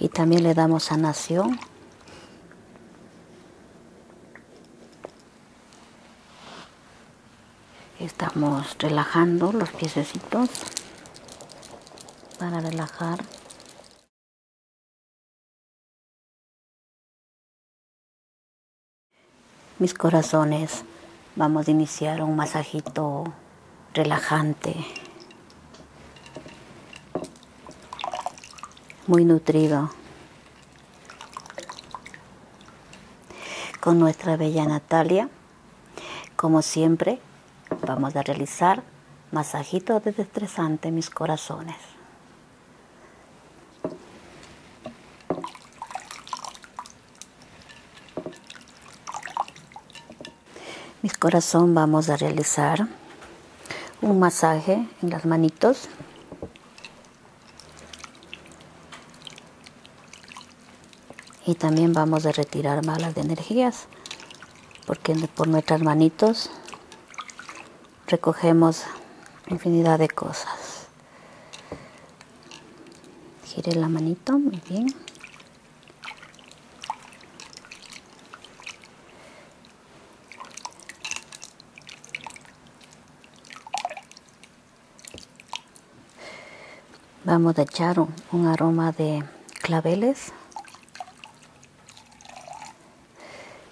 Y también le damos a nación. Estamos relajando los piececitos para relajar mis corazones. Vamos a iniciar un masajito relajante, muy nutrido, con nuestra bella Natalia. Como siempre, vamos a realizar masajitos de destresante mis corazones mis corazón vamos a realizar un masaje en las manitos y también vamos a retirar malas de energías porque por nuestras manitos recogemos infinidad de cosas gire la manito muy bien Vamos a echar un, aroma de claveles,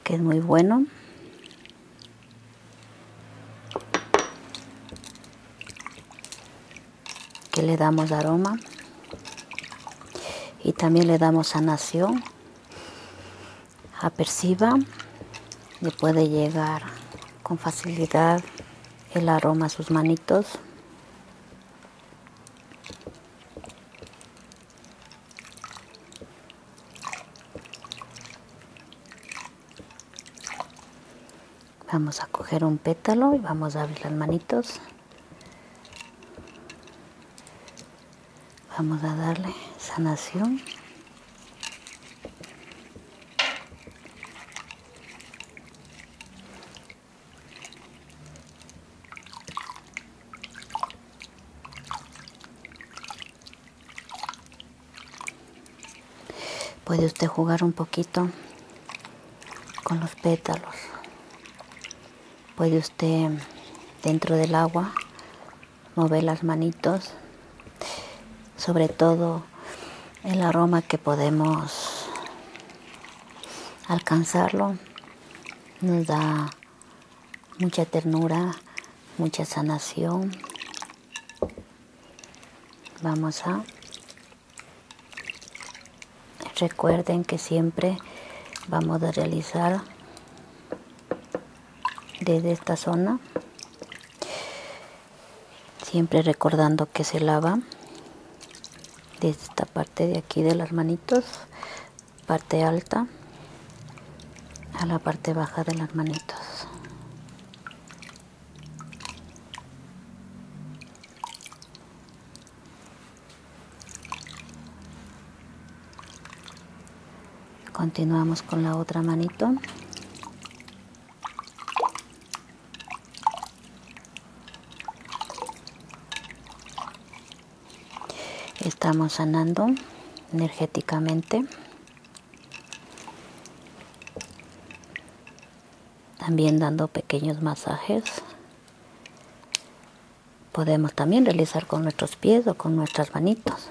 que es muy bueno que le damos aroma y también le damos sanación aperciba le puede llegar con facilidad el aroma a sus manitos vamos a coger un pétalo y vamos a abrir las manitos Vamos a darle sanación. Puede usted jugar un poquito con los pétalos puede usted dentro del agua mover las manitos, sobre todo el aroma que podemos alcanzarlo nos da mucha ternura, mucha sanación. Vamos a recuerden que siempre vamos a realizar desde esta zona siempre recordando que se lava de esta parte de aquí de las manitos parte alta a la parte baja de las manitos Continuamos con la otra manito. Estamos sanando energéticamente. También dando pequeños masajes podemos también realizar con nuestros pies o con nuestras manitos.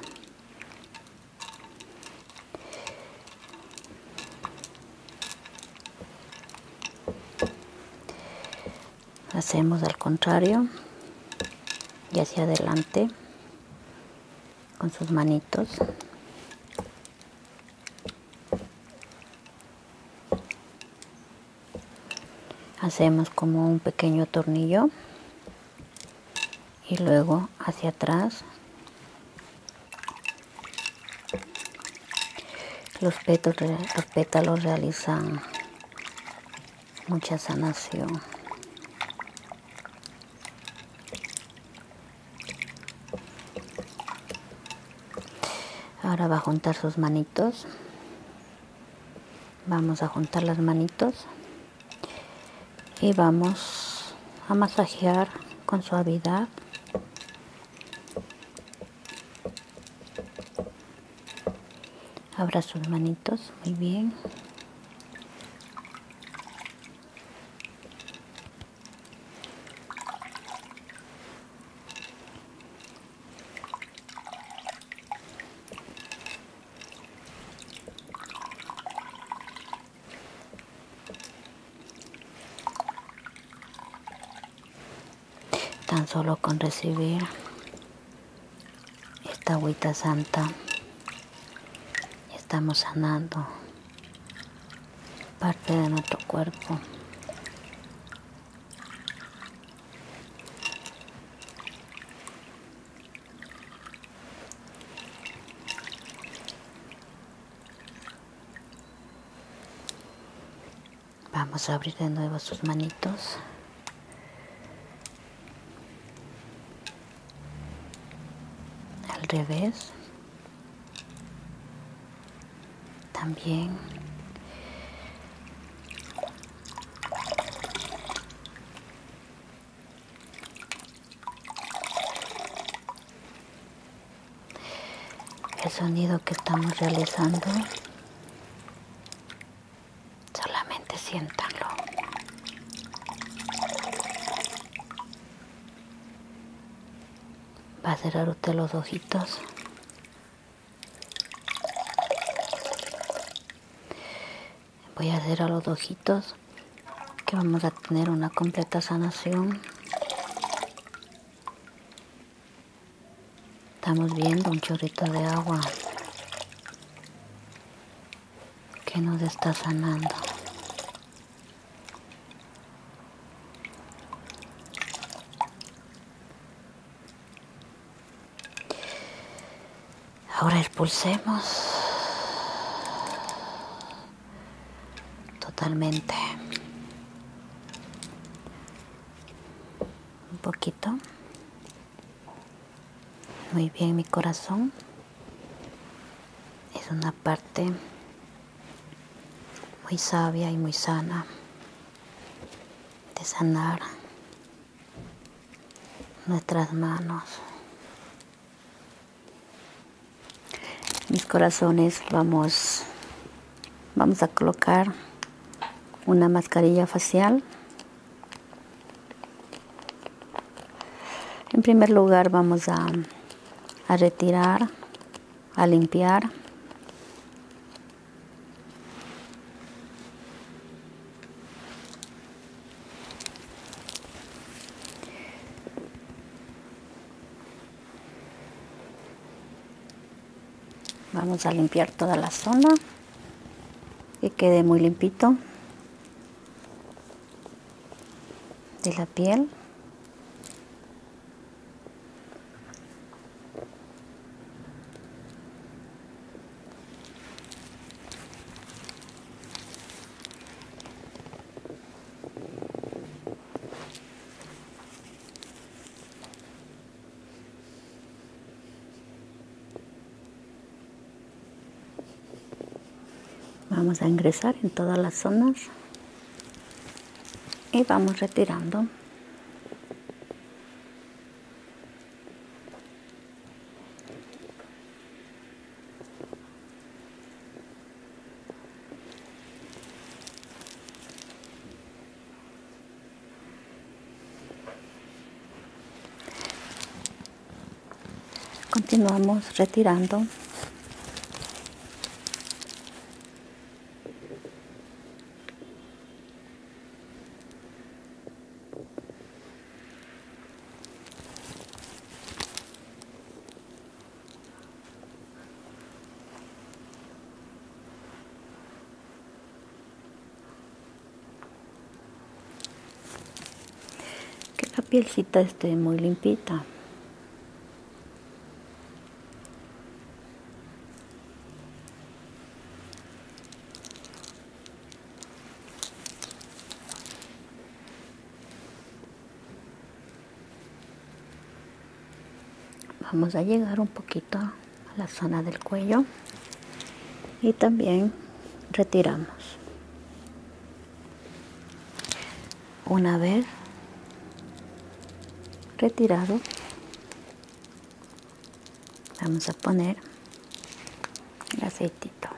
Hacemos al contrario y hacia adelante con sus manitos hacemos como un pequeño tornillo y luego hacia atrás los pétalos, realizan mucha sanación ahora va a juntar sus manillas vamos a juntar las manitos y vamos a masajear con suavidad abra sus manitos muy bien Tan solo con recibir esta agüita santa estamos sanando parte de nuestro cuerpo Vamos a abrir de nuevo sus manitos. Al revés también el sonido que estamos realizando solamente siéntalo va a cerrar usted los ojitos voy a hacer a los ojitos que vamos a tener una completa sanación estamos viendo un chorrito de agua que nos está sanando Ahora expulsemos totalmente. Un poquito. Muy bien, mi corazón. Es una parte muy sabia y muy sana de sanar nuestras manos, mis corazones, vamos, vamos a colocar una mascarilla facial. En primer lugar vamos a, a retirar, a limpiar Vamos a limpiar toda la zona y quede muy limpito de la piel vamos a ingresar en todas las zonas y vamos retirando Continuamos retirando. Que la pielcita esté muy limpita vamos a llegar un poquito a la zona del cuello y también retiramos una vez retirado vamos a poner el aceitito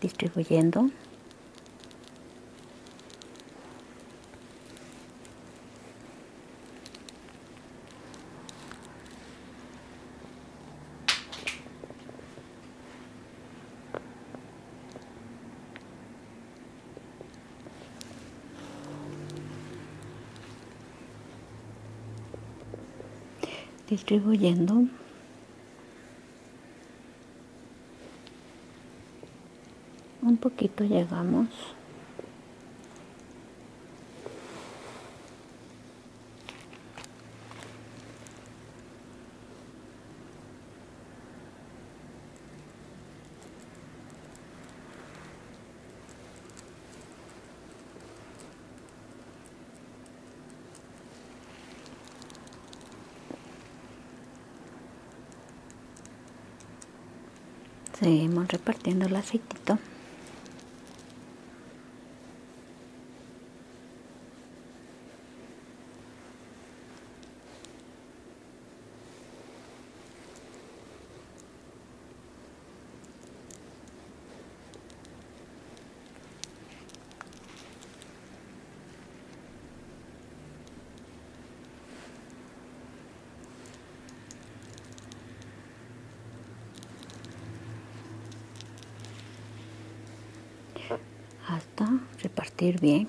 distribuyendo distribuyendo un poquito llegamos Seguimos repartiendo el aceitito hasta repartir bien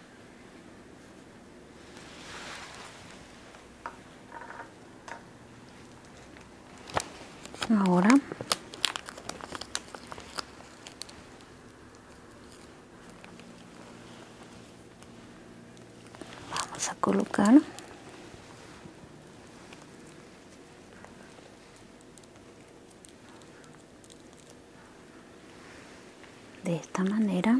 Ahora vamos a colocar de esta manera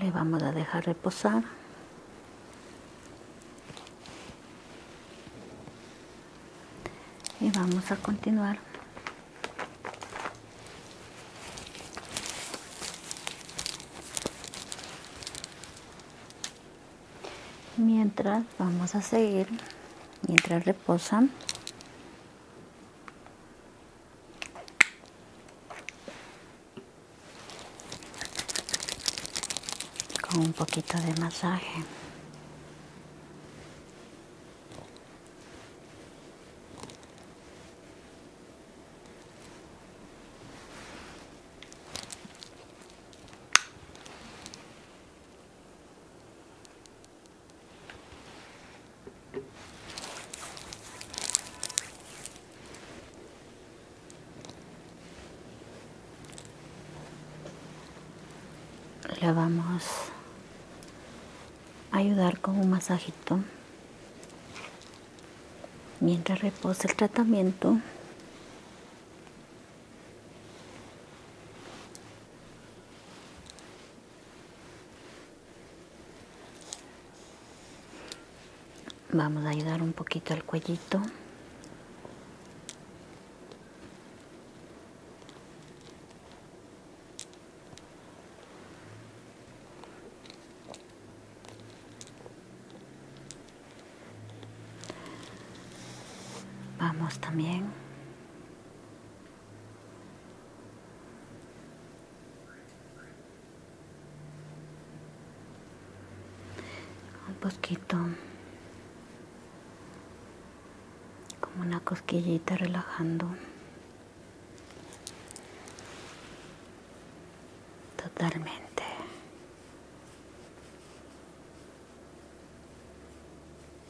le vamos a dejar reposar y vamos a continuar mientras vamos a seguir mientras reposan con un poquito de masaje. La vamos a ayudar con un masajito mientras reposa el tratamiento. Vamos a ayudar un poquito al cuellito. Vamos también un poquito como una cosquillita relajando totalmente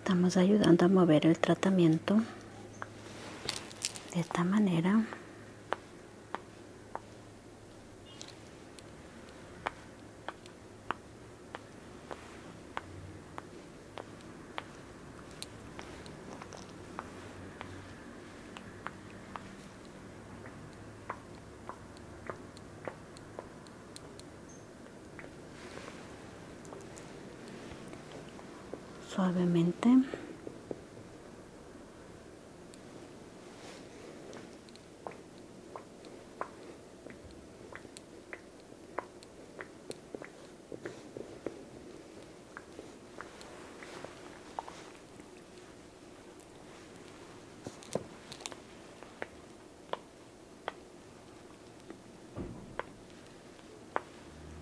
Estamos ayudando a mover el tratamiento de esta manera suavemente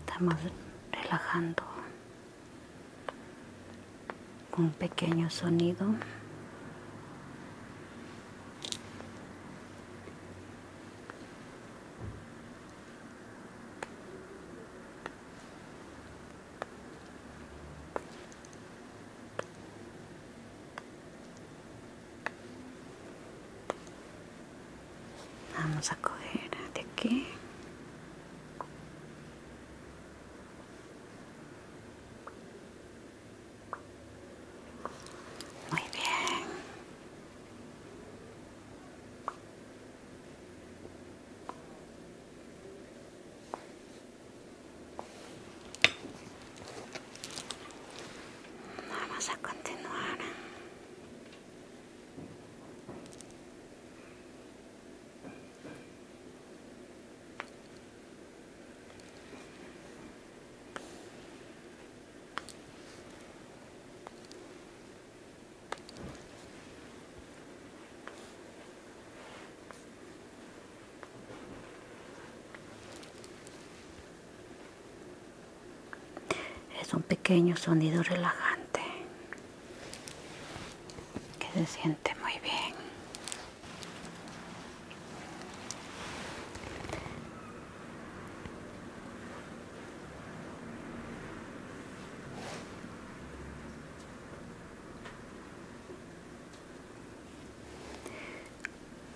Estamos relajando un pequeño sonido. Vamos a coger de aquí. Muy bien. Vamos a continuar. Es un pequeño sonido relajante que se siente muy bien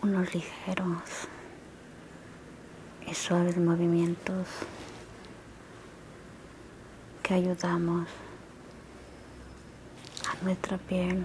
unos ligeros y suaves movimientos que ayudamos a nuestra piel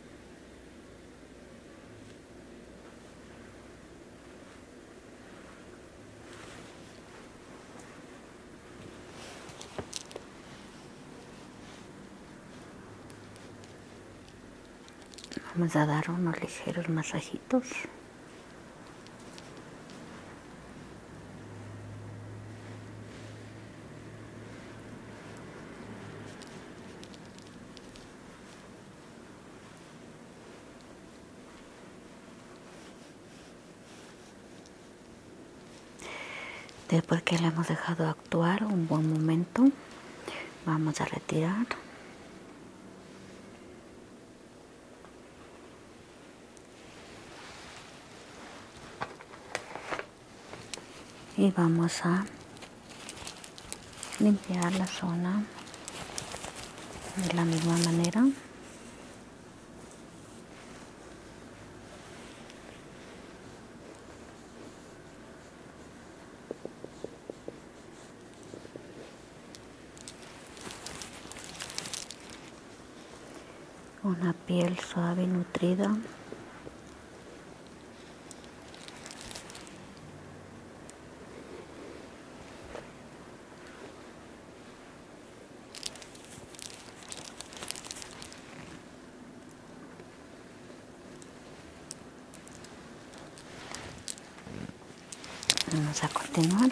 Vamos a dar unos ligeros masajitos. Después que le hemos dejado actuar un buen momento, vamos a retirar y vamos a limpiar la zona de la misma manera una piel suave y nutrida. Vamos a continuar.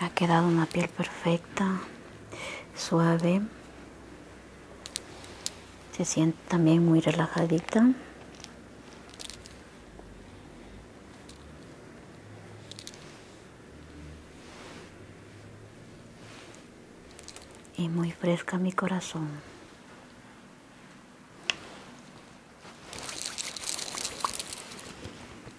ha quedado una piel perfecta suave se siente también muy relajadita y muy fresca mi corazón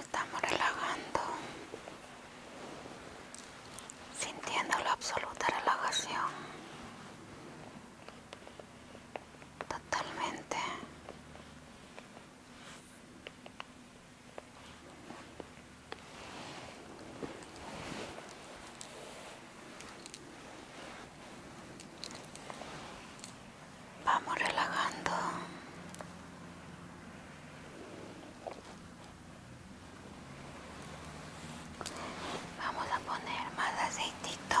Estamos relajando, sintiendo la absoluta relajación, totalmente Vamos relajando. Vamos a poner más aceitito.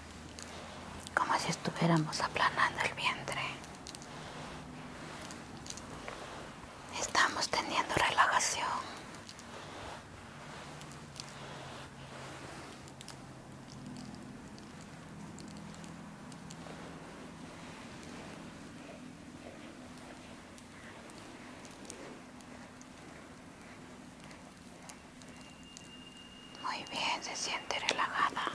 como si estuviéramos aplanando el vientre. Estamos teniendo relajación. Muy bien, se siente relajada.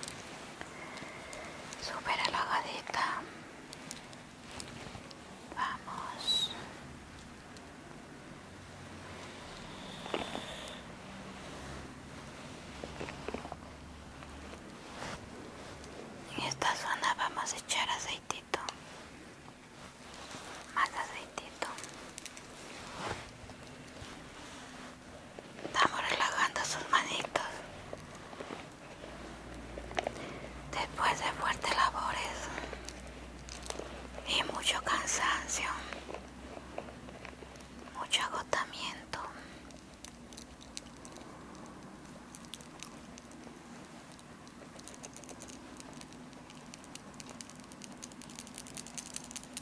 super relajadita. Vamos. En esta zona vamos a echar aceitito. Más aceitito. Estamos relajando sus manitos. Después de fuertes labores y mucho cansancio, mucho agotamiento.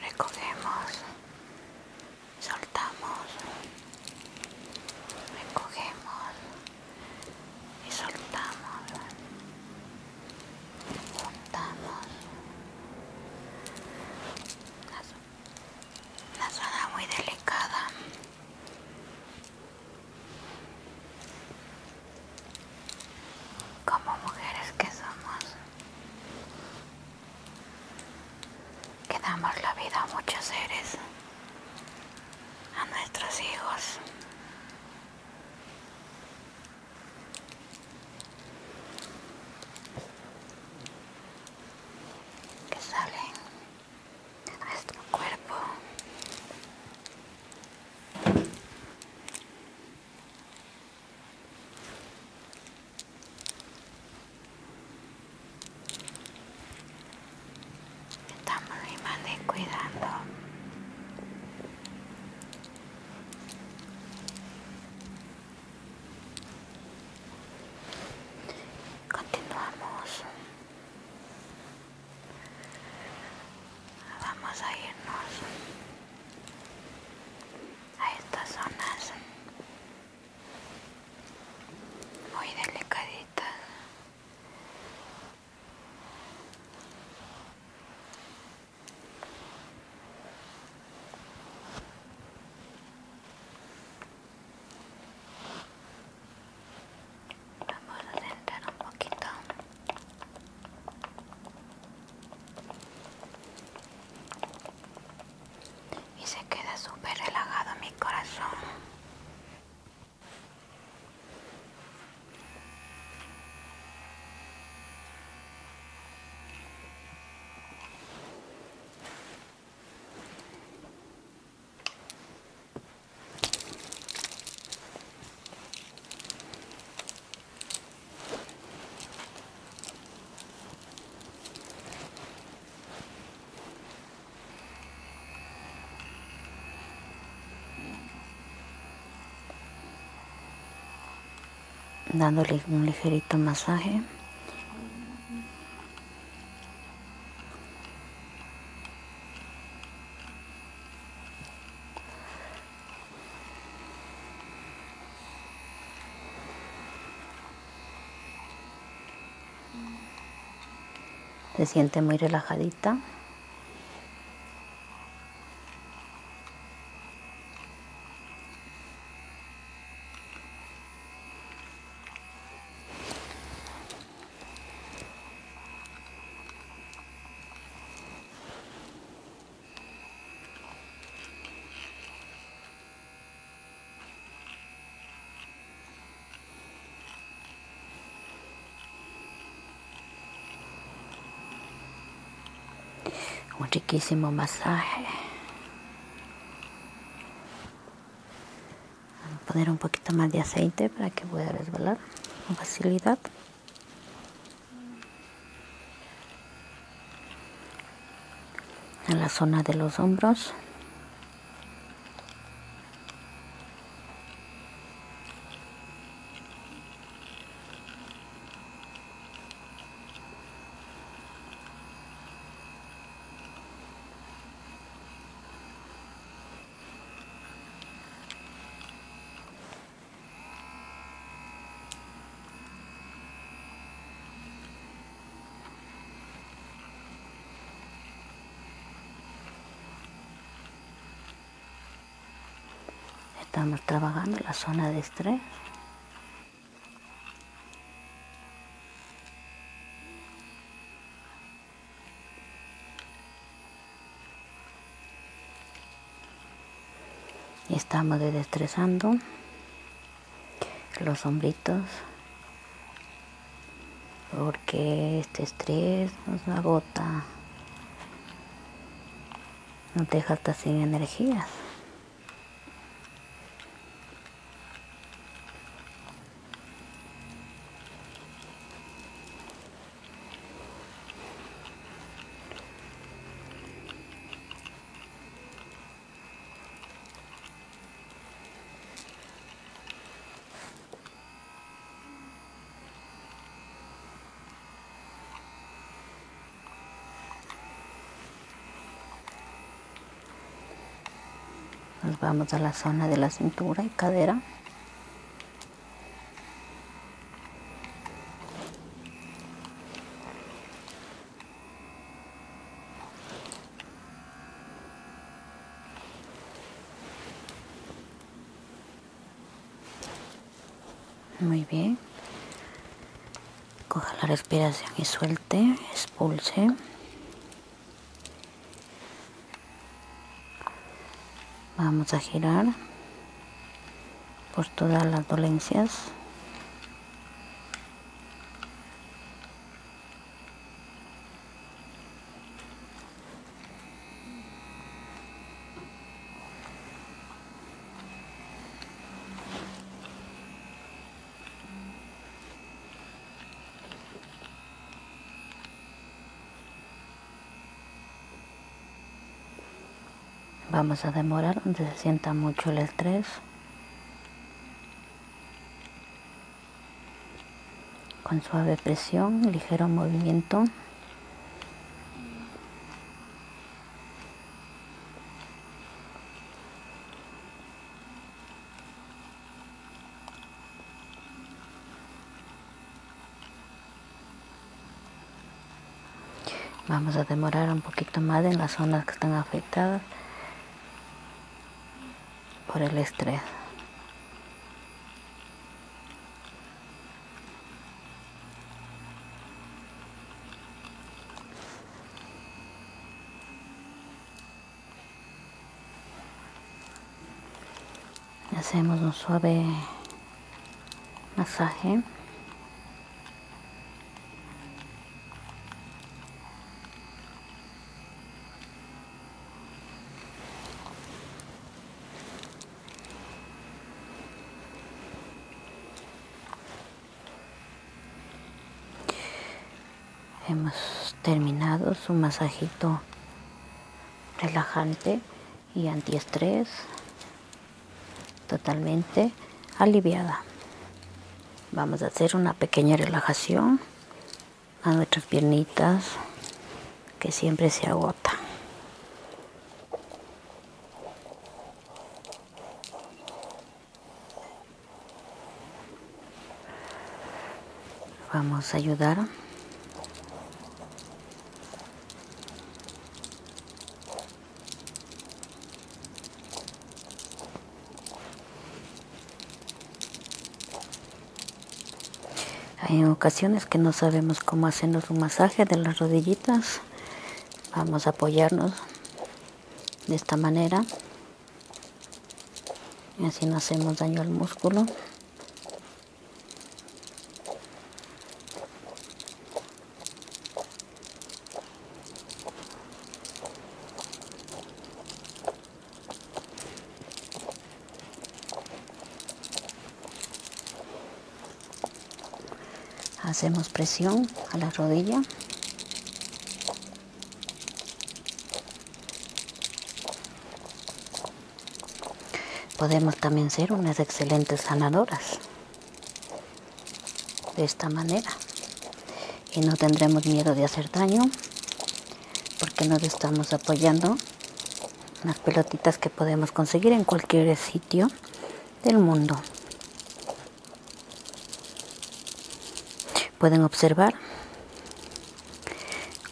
recogemos, soltamos, recogemos y soltamos, juntamos. Una zona muy delicada como mujeres que somos, que damos la vida a muchos seres, a nuestros hijos. que salen de nuestro cuerpo Estamos más cuidando. Continuamos. Vamos a irnos a estas zonas muy delicaditas vamos a sentar un poquito y se queda súper relajado mi corazón dándole un ligerito masaje se siente muy relajadita. Un riquísimo masaje. a poner un poquito más de aceite para que pueda resbalar con facilidad en la zona de los hombros Estamos trabajando la zona de estrés. Y estamos desestresando los hombritos porque este estrés nos agota, nos deja hasta sin energías. Nos vamos a la zona de la cintura y cadera muy bien. Coja la respiración y suelte, expulse. Vamos a girar por todas las dolencias. Vamos a demorar donde se sienta mucho el estrés. Con suave presión, ligero movimiento. Vamos a demorar un poquito más en las zonas que están afectadas por el estrés. Hacemos un suave masaje hemos terminado su masajito relajante y antiestrés totalmente aliviada. Vamos a hacer una pequeña relajación a nuestras piernitas que siempre se agota. Vamos a ayudar hay ocasiones que no sabemos cómo hacernos un masaje de las rodillitas. Vamos a apoyarnos de esta manera. Y así no hacemos daño al músculo. Hacemos presión a la rodilla. Podemos también ser unas excelentes sanadoras de esta manera y no tendremos miedo de hacer daño porque nos estamos apoyando en las pelotitas que podemos conseguir en cualquier sitio del mundo. Pueden observar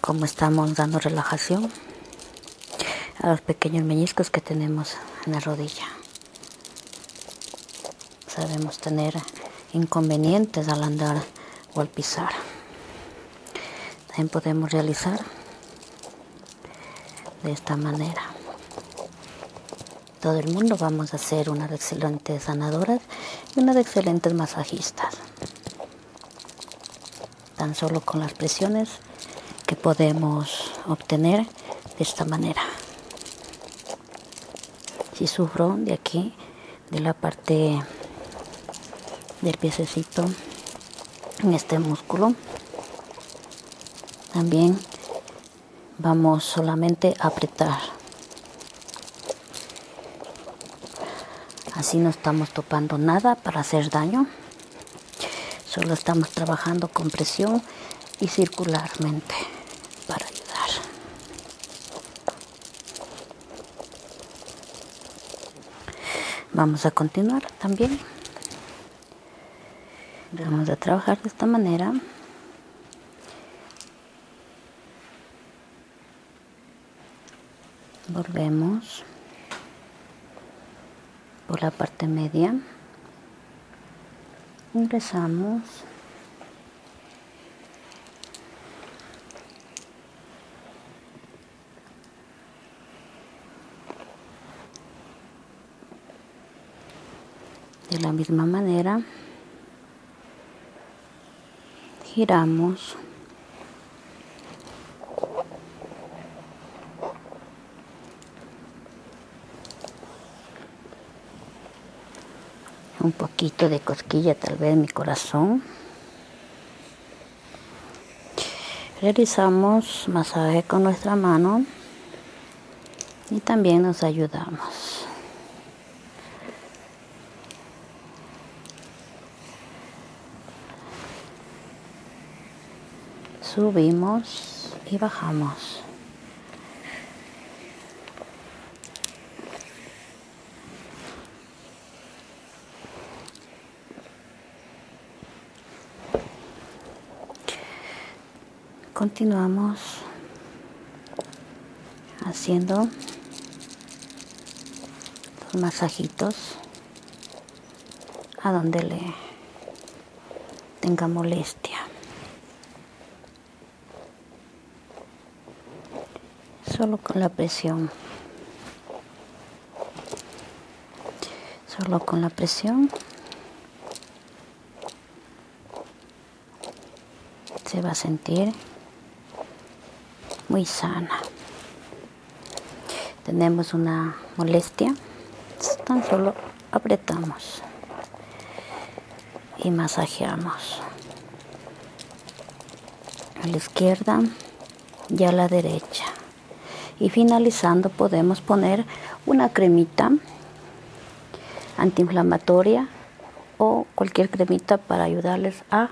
cómo estamos dando relajación a los pequeños meñiscos que tenemos en la rodilla sabemos tener inconvenientes al andar o al pisar. También podemos realizar de esta manera. Todo el mundo vamos a ser unas excelentes sanadoras y unas excelentes masajistas. Tan solo con las presiones que podemos obtener de esta manera si sufro de aquí de la parte del piececito en este músculo también vamos solamente a apretar así no estamos topando nada para hacer daño solo estamos trabajando con presión y circularmente para ayudar. Vamos a continuar también. Vamos a trabajar de esta manera. Volvemos por la parte media ingresamos de la misma manera giramos un poquito de cosquilla tal vez mi corazón. Realizamos masaje con nuestra mano y también nos ayudamos. subimos y bajamos. Continuamos haciendo los masajitos a donde le tenga molestia. Solo con la presión. Solo con la presión se va a sentir muy sana. Tenemos una molestia, tan solo apretamos y masajeamos a la izquierda y a la derecha y finalizando podemos poner una cremita antiinflamatoria o cualquier cremita para ayudarles a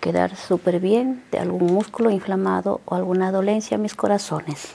quedar súper bien de algún músculo inflamado o alguna dolencia en mis corazones.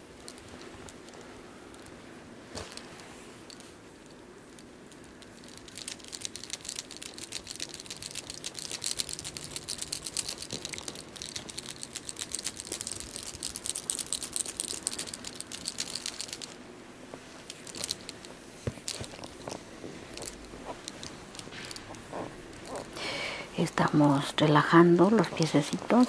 Estamos relajando los piececitos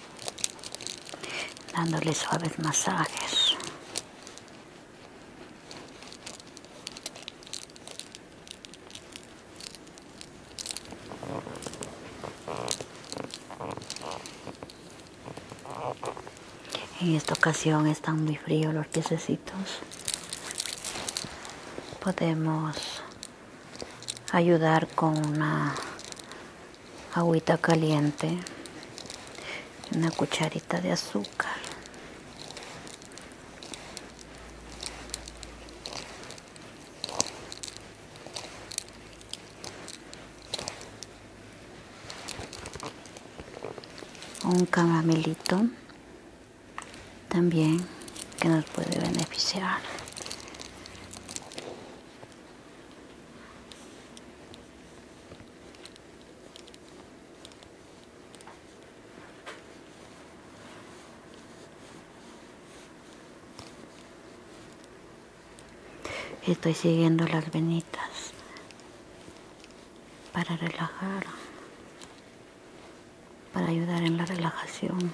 dándole suaves masajes. En esta ocasión están muy fríos los piececitos. Podemos ayudar con una agüita caliente, una cucharita de azúcar. un camamelito también que nos puede beneficiar Estoy siguiendo las venitas para relajar, para ayudar en la relajación.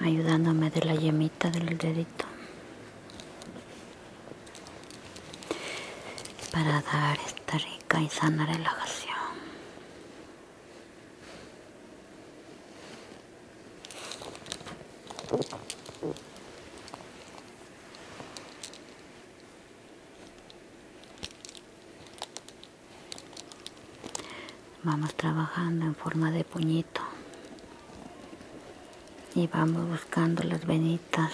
ayudándome de la yemita del dedito para dar esta rica y sana relajación vamos trabajando en forma de puñito y vamos buscando las venitas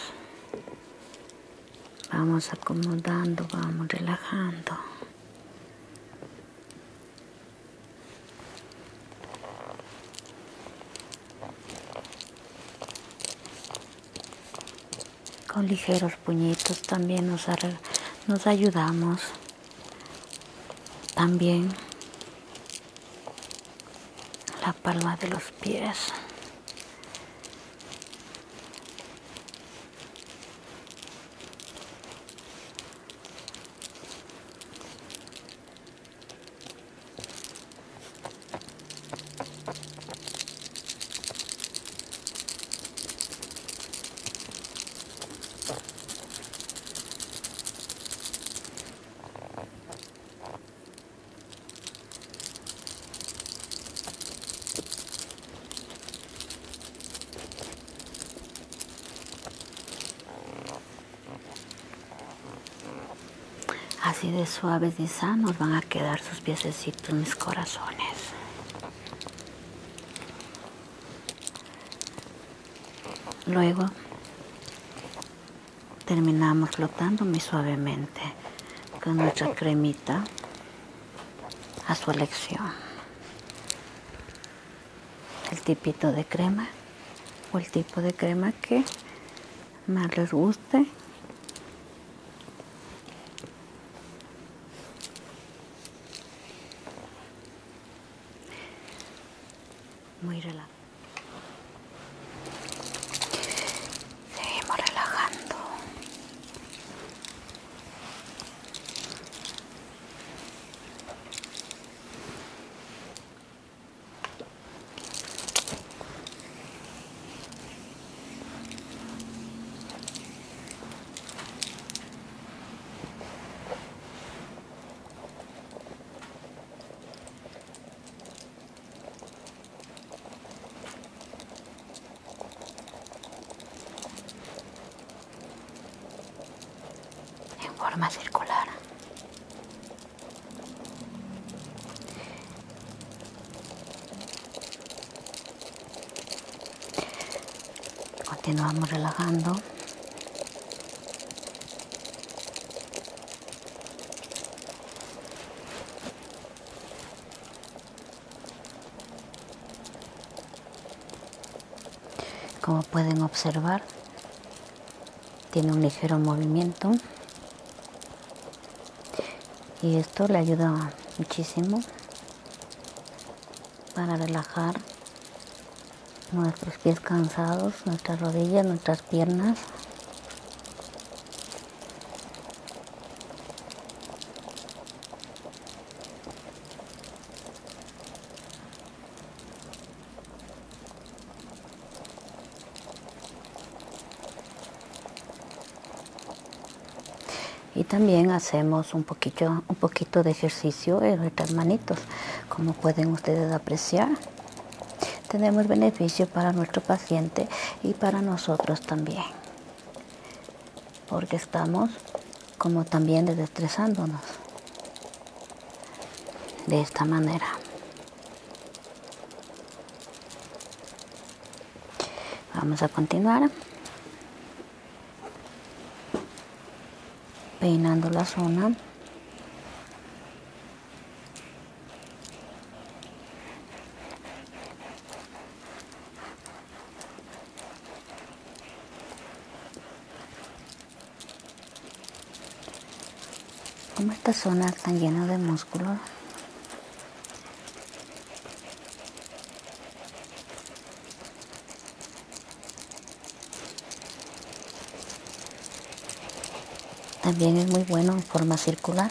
vamos acomodando vamos relajando con ligeros puñitos también nos, nos ayudamos también la palma de los pies. Así de suaves y sanos van a quedar sus piececitos, mis corazones. Luego terminamos flotando muy suavemente con nuestra cremita a su elección. El tipito de crema o el tipo de crema que más les guste. Muy relajado. Seguimos relajando en forma circular Continuamos relajando. Como pueden observar, tiene un ligero movimiento y esto le ayuda muchísimo para relajar nuestros pies cansados, nuestras rodillas, nuestras piernas. Y también hacemos un poquito, un poquito de ejercicio en nuestras manitos, como pueden ustedes apreciar. Tenemos beneficio para nuestro paciente y para nosotros también, porque estamos como también desestresándonos de esta manera. Vamos a continuar peinando la zona como esta zona tan llena de músculos también es muy bueno en forma circular.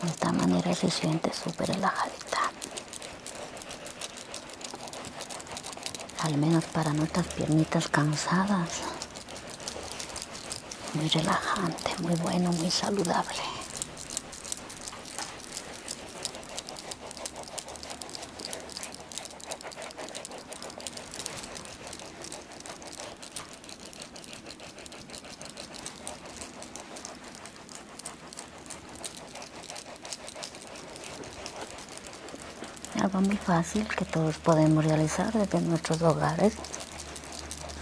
De esta manera se siente súper relajada al menos para nuestras piernitas cansadas. Muy relajante, muy bueno, muy saludable. Algo muy fácil que todos podemos realizar desde nuestros hogares,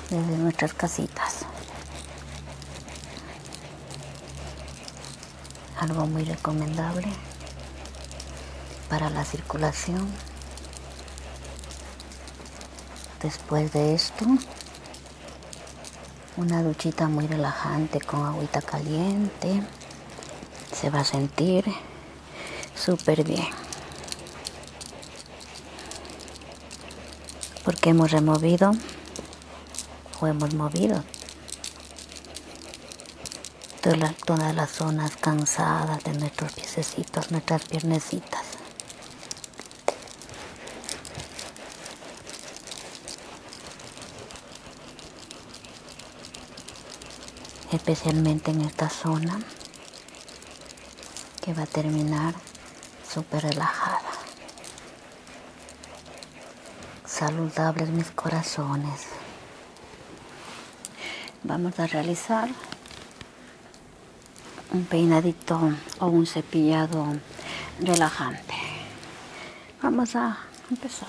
desde nuestras casitas. Algo muy recomendable para la circulación. Después de esto, una duchita muy relajante con agüita caliente. Se va a sentir súper bien porque hemos removido o hemos movido todas las, las zonas cansadas de nuestros piececitos, nuestras piernecitas especialmente en esta zona que va a terminar súper relajada. Saludables mis corazones. Vamos a realizar un peinadito o un cepillado relajante. Vamos a empezar.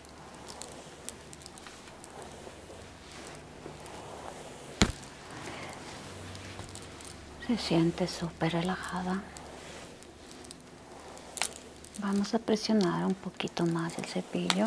Se siente súper relajada. Vamos a presionar un poquito más el cepillo.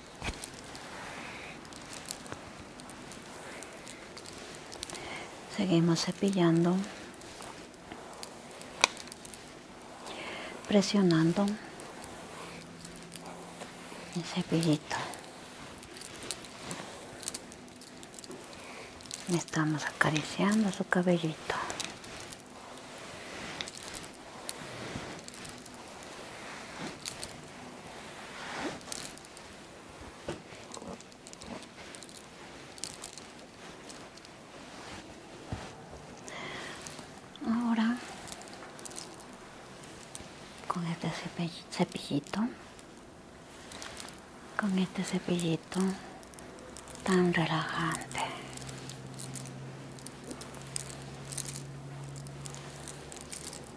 seguimos cepillando presionando el cepillito estamos acariciando su cabellito Ahora con este cepillito, con este cepillito tan relajante.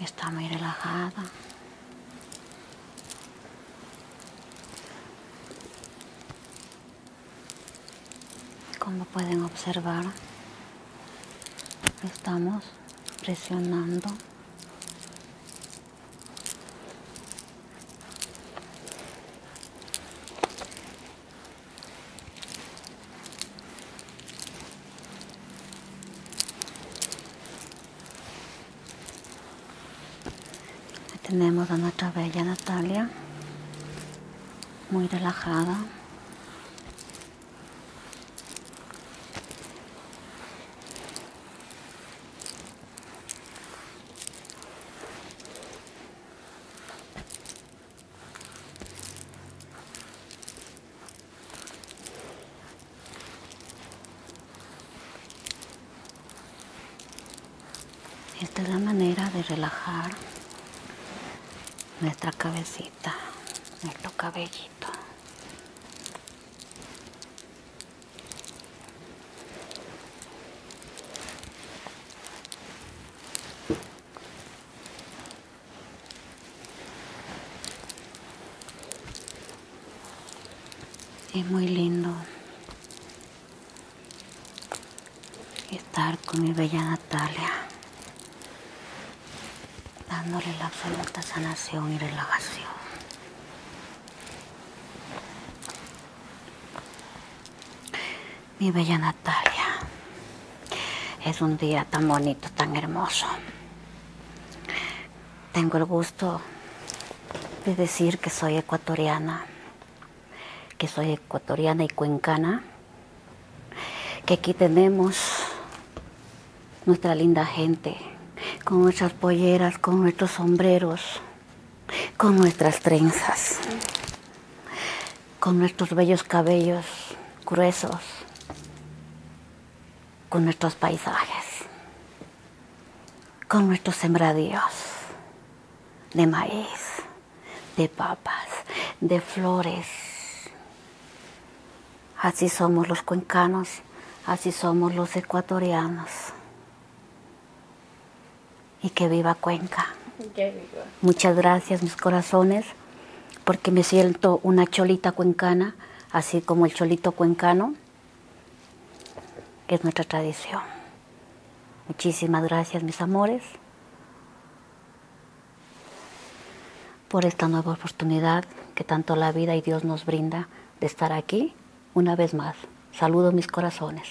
está muy relajada. Como pueden observar, estamos presionando tenemos a nuestra bella Natalia, muy relajada. Esta es la manera de relajar nuestra cabecita, nuestro cabellito. Es muy lindo estar con mi bella Natalia, dándole la absoluta sanación y relajación. Mi bella Natalia, es un día tan bonito, tan hermoso. Tengo el gusto de decir que soy ecuatoriana, que soy ecuatoriana y cuencana, que aquí tenemos nuestra linda gente, con nuestras polleras, con nuestros sombreros, con nuestras trenzas, con nuestros bellos cabellos gruesos, con nuestros paisajes, con nuestros sembradíos de maíz, de papas, de flores. Así somos los cuencanos, así somos los ecuatorianos. Y que viva Cuenca. Muchas gracias, mis corazones porque me siento una cholita cuencana, así como el cholito cuencano, que es nuestra tradición. Muchísimas gracias, mis amores, por esta nueva oportunidad que tanto la vida y Dios nos brinda de estar aquí una vez más. Saludo mis corazones.